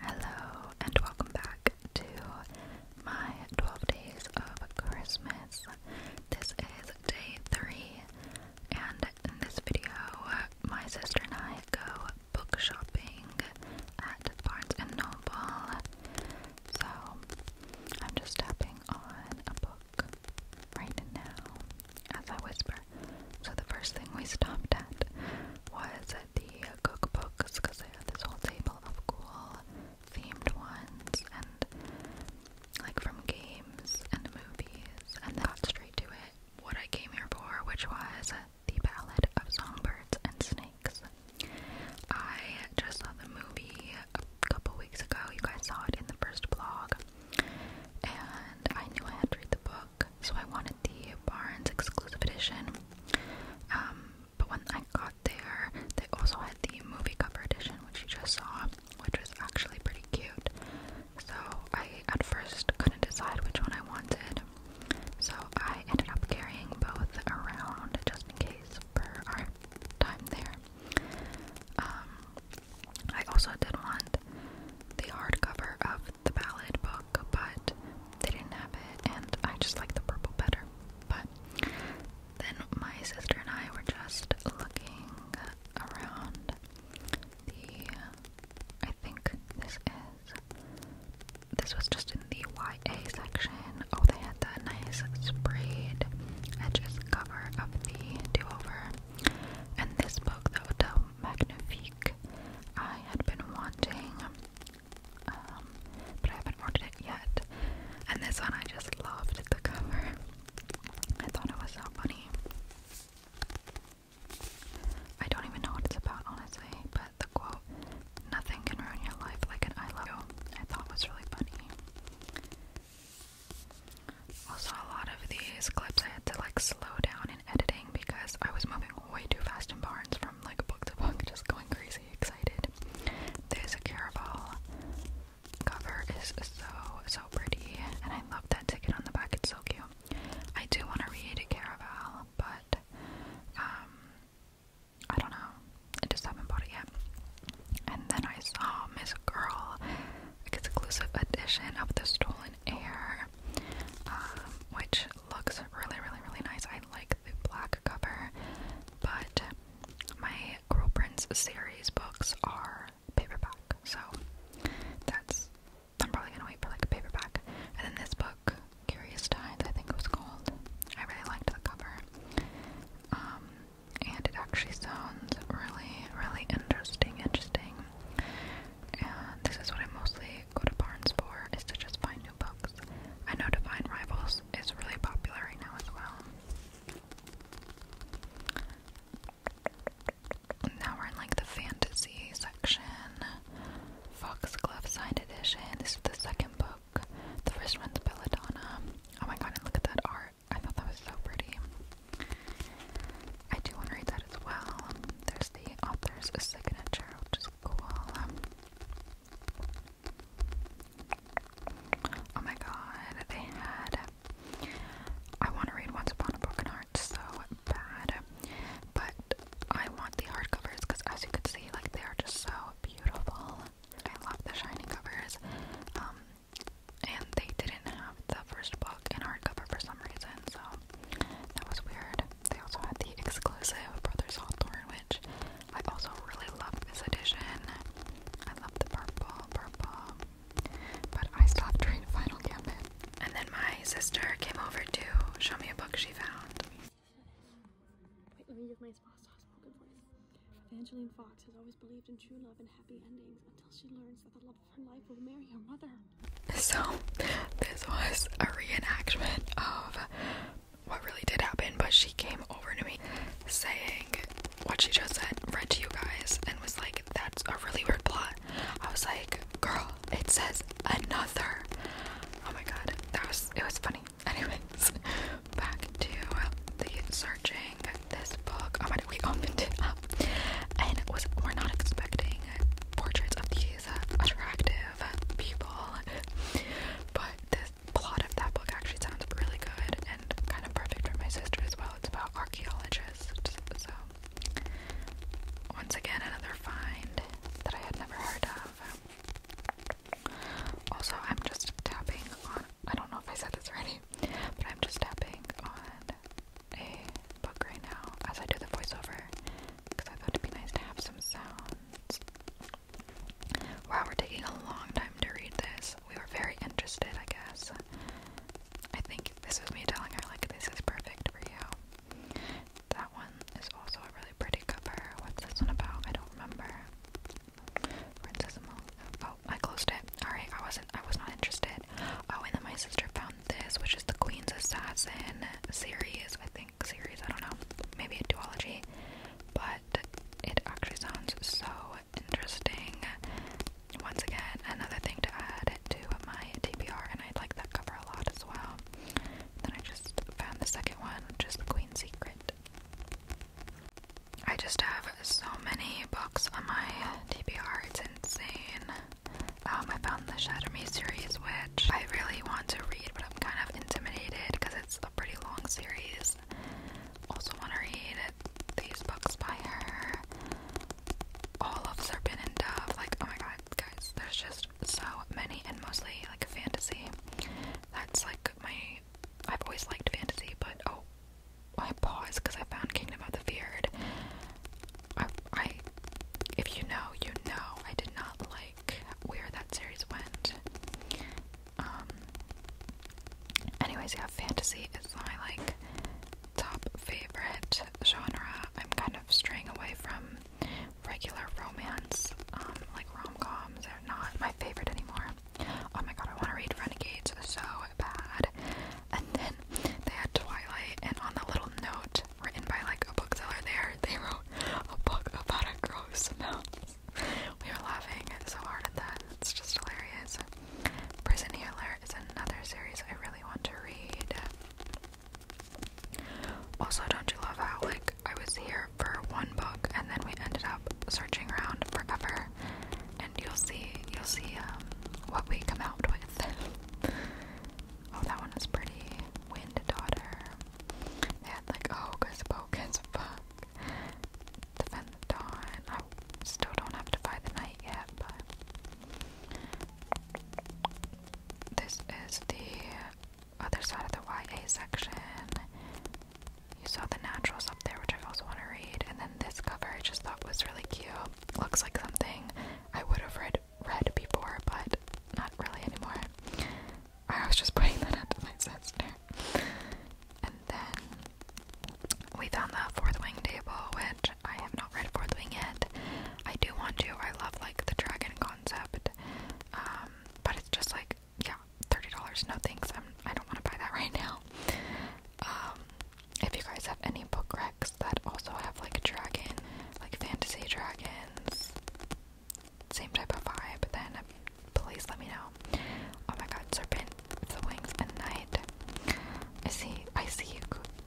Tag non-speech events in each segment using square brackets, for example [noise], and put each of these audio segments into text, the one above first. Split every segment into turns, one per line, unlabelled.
Hello and welcome back to my 12 days of Christmas. This is day 3 and in this video my sister and I go book shopping at Barnes and Noble. So I'm just tapping on a book right now as I whisper. So the first thing we stopped at was the cookbooks because they had this whole table of cool themed ones and like from games and movies and then got straight to it what I came here for which was the ballad of songbirds and snakes. I just saw the movie a couple weeks ago, you guys saw it in the first blog and I knew I had to read the book so I wanted the Barnes exclusive edition. Um, but when I got there, they also had the movie cover edition, which you just saw, which was actually pretty cute. So I at first couldn't decide which one I wanted, so I ended up carrying both around just in case for our time there. Um, I also did want the hardcover of the ballad book, but they didn't have it, and I just like the purple better. But then my sister and I were just looking around the. I think this is. This was just in the YA section. Oh, they had that nice sprayed edges cover of the do over. And this book, though, Del Magnifique I had been wanting, um, but I haven't ordered it yet. And this one, I just loved the cover. I thought it was so funny. I don't even know what it's about, honestly, but the quote, nothing can ruin your life like an I love you, I thought was really funny. Also, a lot of these clips I had to like slow down in editing because I was moving way too fast in Barnes from like book to book, [laughs] just going crazy excited. There's a Caraval cover is so so pretty, and I love that ticket on the back. It's so cute. I do want to read Caraval, but um, I don't know. I just haven't bought it yet. And then I saw Miss Girl exclusive edition of the Stolen Air, um, which looks really, really, really nice. I like the black cover, but my Girl Prince series books are paperback, so that's. I'm probably gonna wait for like a paperback. And then this book, Curious Times, I think it was called. I really liked the cover. Um, and it actually sounds really, really interesting, interesting. And this is what I'm mostly go to Barnes for is to just find new books. I know Divine Rivals is really popular right now as well. Now we're in like the fantasy section. Foxglove Signed Edition. This is the second book. The first one's Belladonna. Oh my god, and look at that art. I thought that was so pretty. I do want to read that as well. there's the author's signature, which is cool. Um, oh my god, they had. I want to read Once Upon a Broken Heart so bad, but I want the hardcovers because, as you can see, like they are just so beautiful. I love the shiny covers. Um, and they didn't have the first book in hardcover for some reason, so that was weird. They also had the exclusive Brothers Hawthorne, which I also really love this edition. I love the purple, purple. But I stopped trying to Final Gambit. And then my sister came over to show me a book she found. Wait, let me give my boss a spoken voice. Fox has always believed in true love and happy endings until she learns that the love so, this was a reenactment of what really did happen, but she came over to me saying what she just said, read to you guys, and was like, That's a really weird plot. I was like, Girl, it says another. Oh my god, that was it was funny. [laughs] Anyways, back to the searching this book. I'm oh to we opened it up stuff. And was we're not expecting portraits of these attractive people, but this plot of that book actually sounds really good and kind of perfect for my sister as well. It's about archaeologists, so once again another find that I had never heard of. Also, I'm just tapping on. I don't know if I said this already, but I'm just tapping on a book right now as I do the voiceover because I thought it'd be nice to have some sounds. Wow, we're taking a long time to read this. We were very interested, I guess. I think this was me telling her, like, this is perfect for you. That one is also a really pretty cover. What's this one about? I don't remember. Princess Among. Oh, I closed it. Alright, I wasn't, I was not interested. Oh, and then my sister found this, which is the Queen's Assassin series, I think. Series, I don't know. Maybe a duology. But it actually sounds so interesting. Once again, another thing to add to my TBR, and I like that cover a lot as well. Then I just found the second one, which is The Queen's Secret. I just have so many books on my TBR, it's insane. Um, I found the Shatter Me series, which I really want to read, but I'm kind of intimidated because it's a pretty long series. Also, want to read these books by her. All of Serpent and Dove, like oh my god, guys, there's just so many, and mostly like fantasy. That's like my. I've always liked fantasy, but oh, I paused because I found Kingdom of the Feared. I, if you know, you know, I did not like where that series went. Um, anyways, yeah, fantasy is my, like, top favorite genre. I'm kind of straying away from regular romance, um, like rom-coms are not my favorite anymore. Oh my god, I want to read Renegades so bad. And then they had Twilight, and on the little note written by like a bookseller there, they wrote a book about a gross mouse. We were laughing so hard at that. It's just hilarious. Prison Healer is another series I really want to read. Also, don't you love how like I was here for one book and then we ended up searching around forever? And you'll see, you'll see um, what we come out with. [laughs] Oh, that one was pretty. Wind Daughter. They had like Hocus oh, Pocus, fuck. Defend the Dawn. I still don't have to buy the Night yet, but. This is the other side of the YA section. You saw the naturals up there, which I also want to read. And then this cover I just thought was really cute looks like something I would have read read before, but not really anymore. I was just putting that out to my sister. And then we found the fourth wing table, which I have not read fourth wing yet. I do want to. I love like the dragon concept. Um, but it's just like yeah, thirty dollars. No thanks. I'm I don't want to buy that right now. Um, if you guys have any book wrecks that also have like a dragon, like fantasy dragons, same type of vibe, then please let me know. Oh my god, Serpent, the Wings, and Night. I see, I see you,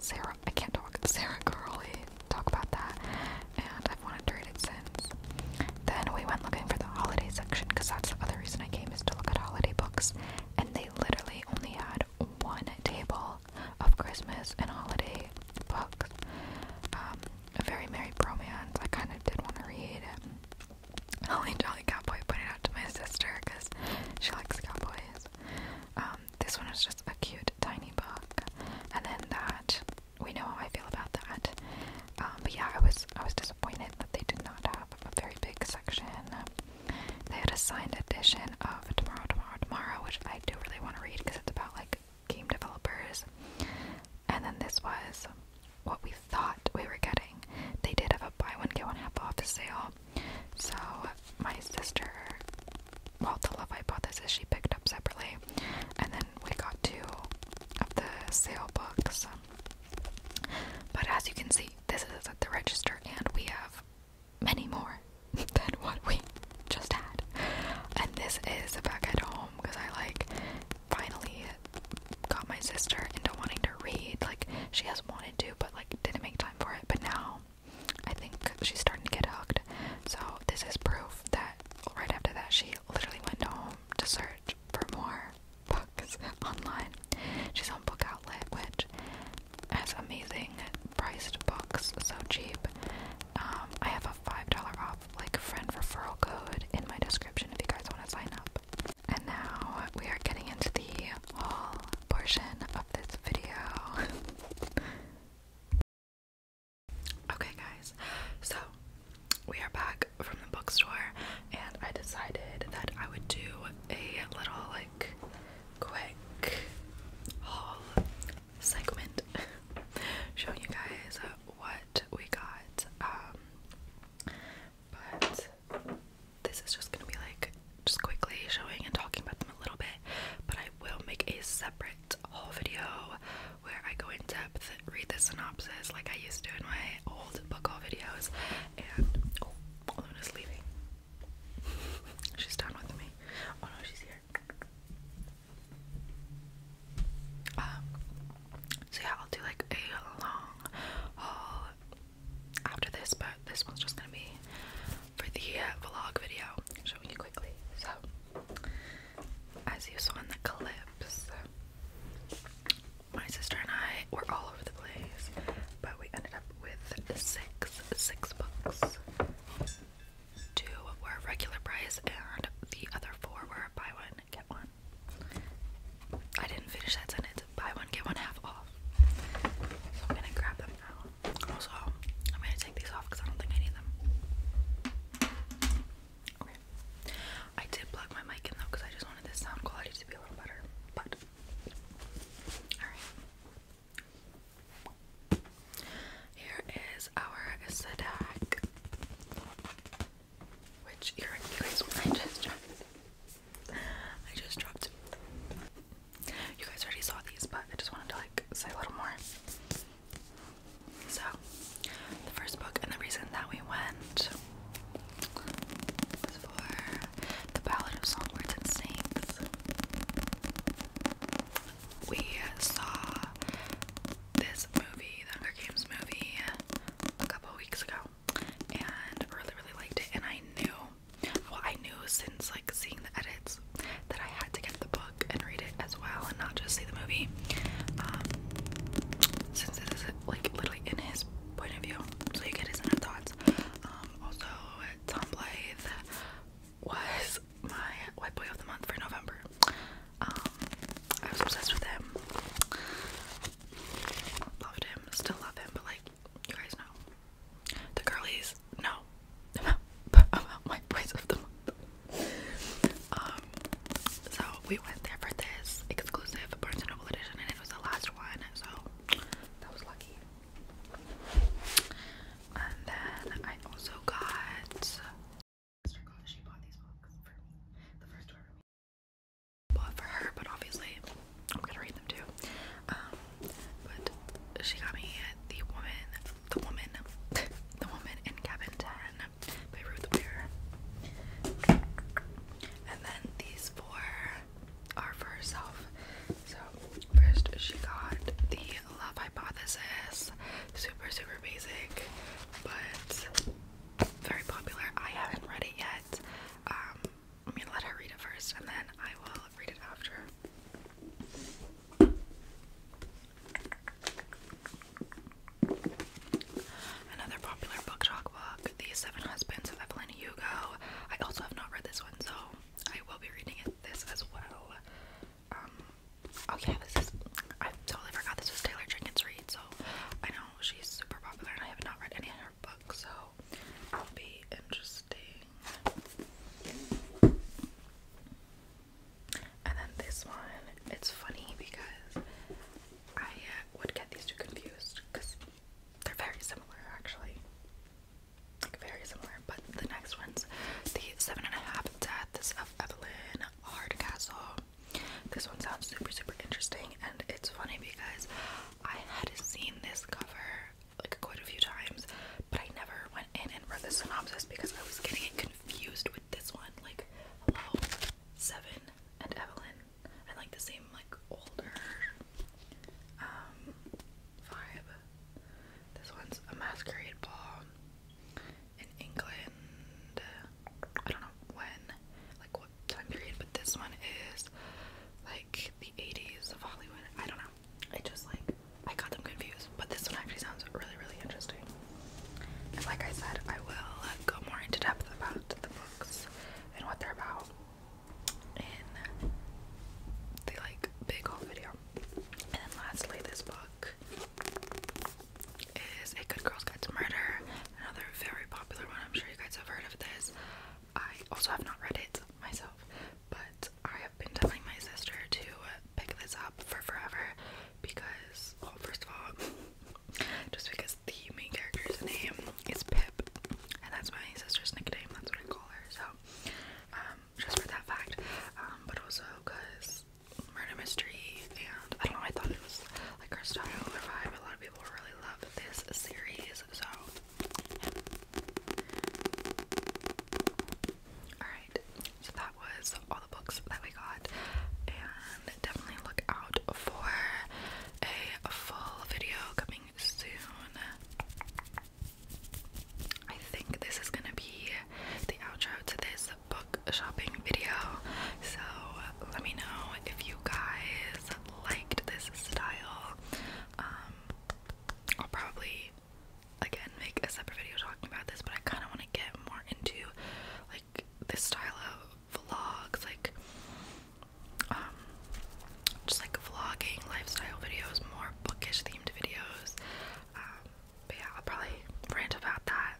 Sarah. I can't talk. [laughs] Sarah Curley, talk about that, and I've wanted to read it since. Then we went looking for the holiday section because that's the other reason I came is to look at holiday books, and they literally only had one table of Christmas and holiday books. Um, a very merry bromance. I kind of did want to read it. [laughs] Only Jolly Cowboy put it out to my sister because she likes cowboys. Um, this one is just a cute, tiny book, and then that we know how I feel about that. Um, but yeah, I was I was disappointed that they did not have a very big section they had a signed edition of Tomorrow, Tomorrow, Tomorrow, which I do really want to read because it's about like game developers. And then this was what we thought we were getting. They did have a buy one get one half off sale. So my sister, well, the love hypothesis she picked up separately, and then we got two of the sale books. But as you can see, this is at the register, and we have many more [laughs] than what we just had. And this is a back at home because I like finally got my sister into wanting to read. Like she has wanted to, but like didn't make time for it. But now I think she's starting to get hooked. So this is proof that right after that she literally went home to search for more books [laughs] online She's on Book Outlet, which has amazing priced books, so cheap. Um, I have a five dollar off like friend referral code in my description if you guys want to sign up. And now we are getting into the haul portion of this video. [laughs] Okay, guys, so we are back from the bookstore, and I decided that I would do a little like quick haul segment [laughs] showing you guys what we got. Um, but this is just gonna be like just quickly showing and talking about them a little bit. But I will make a separate haul video where I go in depth, read the synopsis like I used to do in my old book haul videos, and oh, Luna's leaving. She's done with me. Oh no, she's here. Um, so yeah, I'll do like a long haul after this, but this one's just gonna be for the uh, vlog video, showing you quickly. So, as you saw in the clips, my sister and I were all over the place, but we ended up with six six books. Two were regular price, and the other four were buy one get one. I didn't finish that sentence. Buy one get one half off. So I'm gonna grab them now. Also, I'm gonna take these off because I don't think I need them. Okay. I did plug my mic in though because I just wanted the sound quality to be a little better. But here is our Sadak. Which you guys I just I just dropped. You guys already saw these, but I just wanted to like say a little more. So the first book and the reason that we went for The Ballad of Songbirds and Snakes. We saw this movie, the Hunger Games movie, a couple weeks ago, and really, really liked it. And I knew, well, I knew since like seeing the edits that I had to get the book and read it as well, and not just see the movie. Um, since it is like literally in his point of view, so you get his inner thoughts. Um, also, Tom Blythe was my white boy of the month for November. Um, I was obsessed with him. Loved him, still love him, but like, you guys know. The girlies, no. [laughs] About my boys of the month. Um, so we went there for this exclusive Barnes & Noble edition, and it was the last one, so that was lucky. And then I also got. She for her, but obviously I'm gonna read them too. Um, but she got me the woman, the woman, [laughs] the woman in cabin ten by Ruth and then these four are for herself. So first she got the Love Hypothesis, super super basic, but very popular. I haven't read it yet. I'm um, gonna let her read it first, and then I will read it after. Another popular book talk Dog Seven Husbands of Evelyn Hugo. I also have not read this one, so I will be reading this as well. Um, oh this is, I totally forgot this was Taylor Jenkins read, so I know she's super popular and I have not read any of her books, so I'll be interesting. And then this one, it's funny because I uh, would get these two confused because they're very similar, actually. Like, very similar. But the next one's the Seven and a Half Deaths of Evelyn Hardcastle. This one sounds super, super interesting, and it's funny because I had seen this cover like quite a few times, but I never went in and read the synopsis because I was getting confused with this one. Like, hello, Seven and Evelyn. I like the same like older um vibe. This one's a masquerade ball in England. I don't know when, like what time period, but this one is like the 80s of Hollywood. I don't know. I just like I got them confused, but this one actually sounds really, really interesting. And like I said, I will go more into depth about the books and what they're about and they like big haul video. And then lastly, this book is A Good Girl's Guide to Murder, another very popular one. I'm sure you guys have heard of this. I also have not read it myself, but I have been telling my sister to pick this up for forever because, well, first of all, [laughs] just because the main character's name. is Pip, and that's my sister's nickname. That's what I call her. So, um, just for that fact, um, but also because murder mystery, and I don't know. I thought it was like her style or vibe. A lot of people really love this series. So, all right. So that was all the books that we got, definitely look out for a full video coming soon. I think this is gonna be the outro to this book shopping video. So let me know if you guys liked this style. Um, I'll probably again make a separate video talking about this, but I kind of want to get more into like this style of vlogs, like um, just like vlogging, lifestyle videos, more bookish themed videos. Um, but yeah, I'll probably rant about that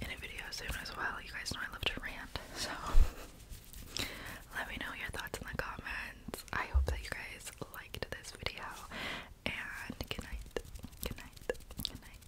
in a video soon as well. You guys know I love to rant, so [laughs] let me know your thoughts in the comments. I hope that you guys liked this video and good night. Good night. Good night.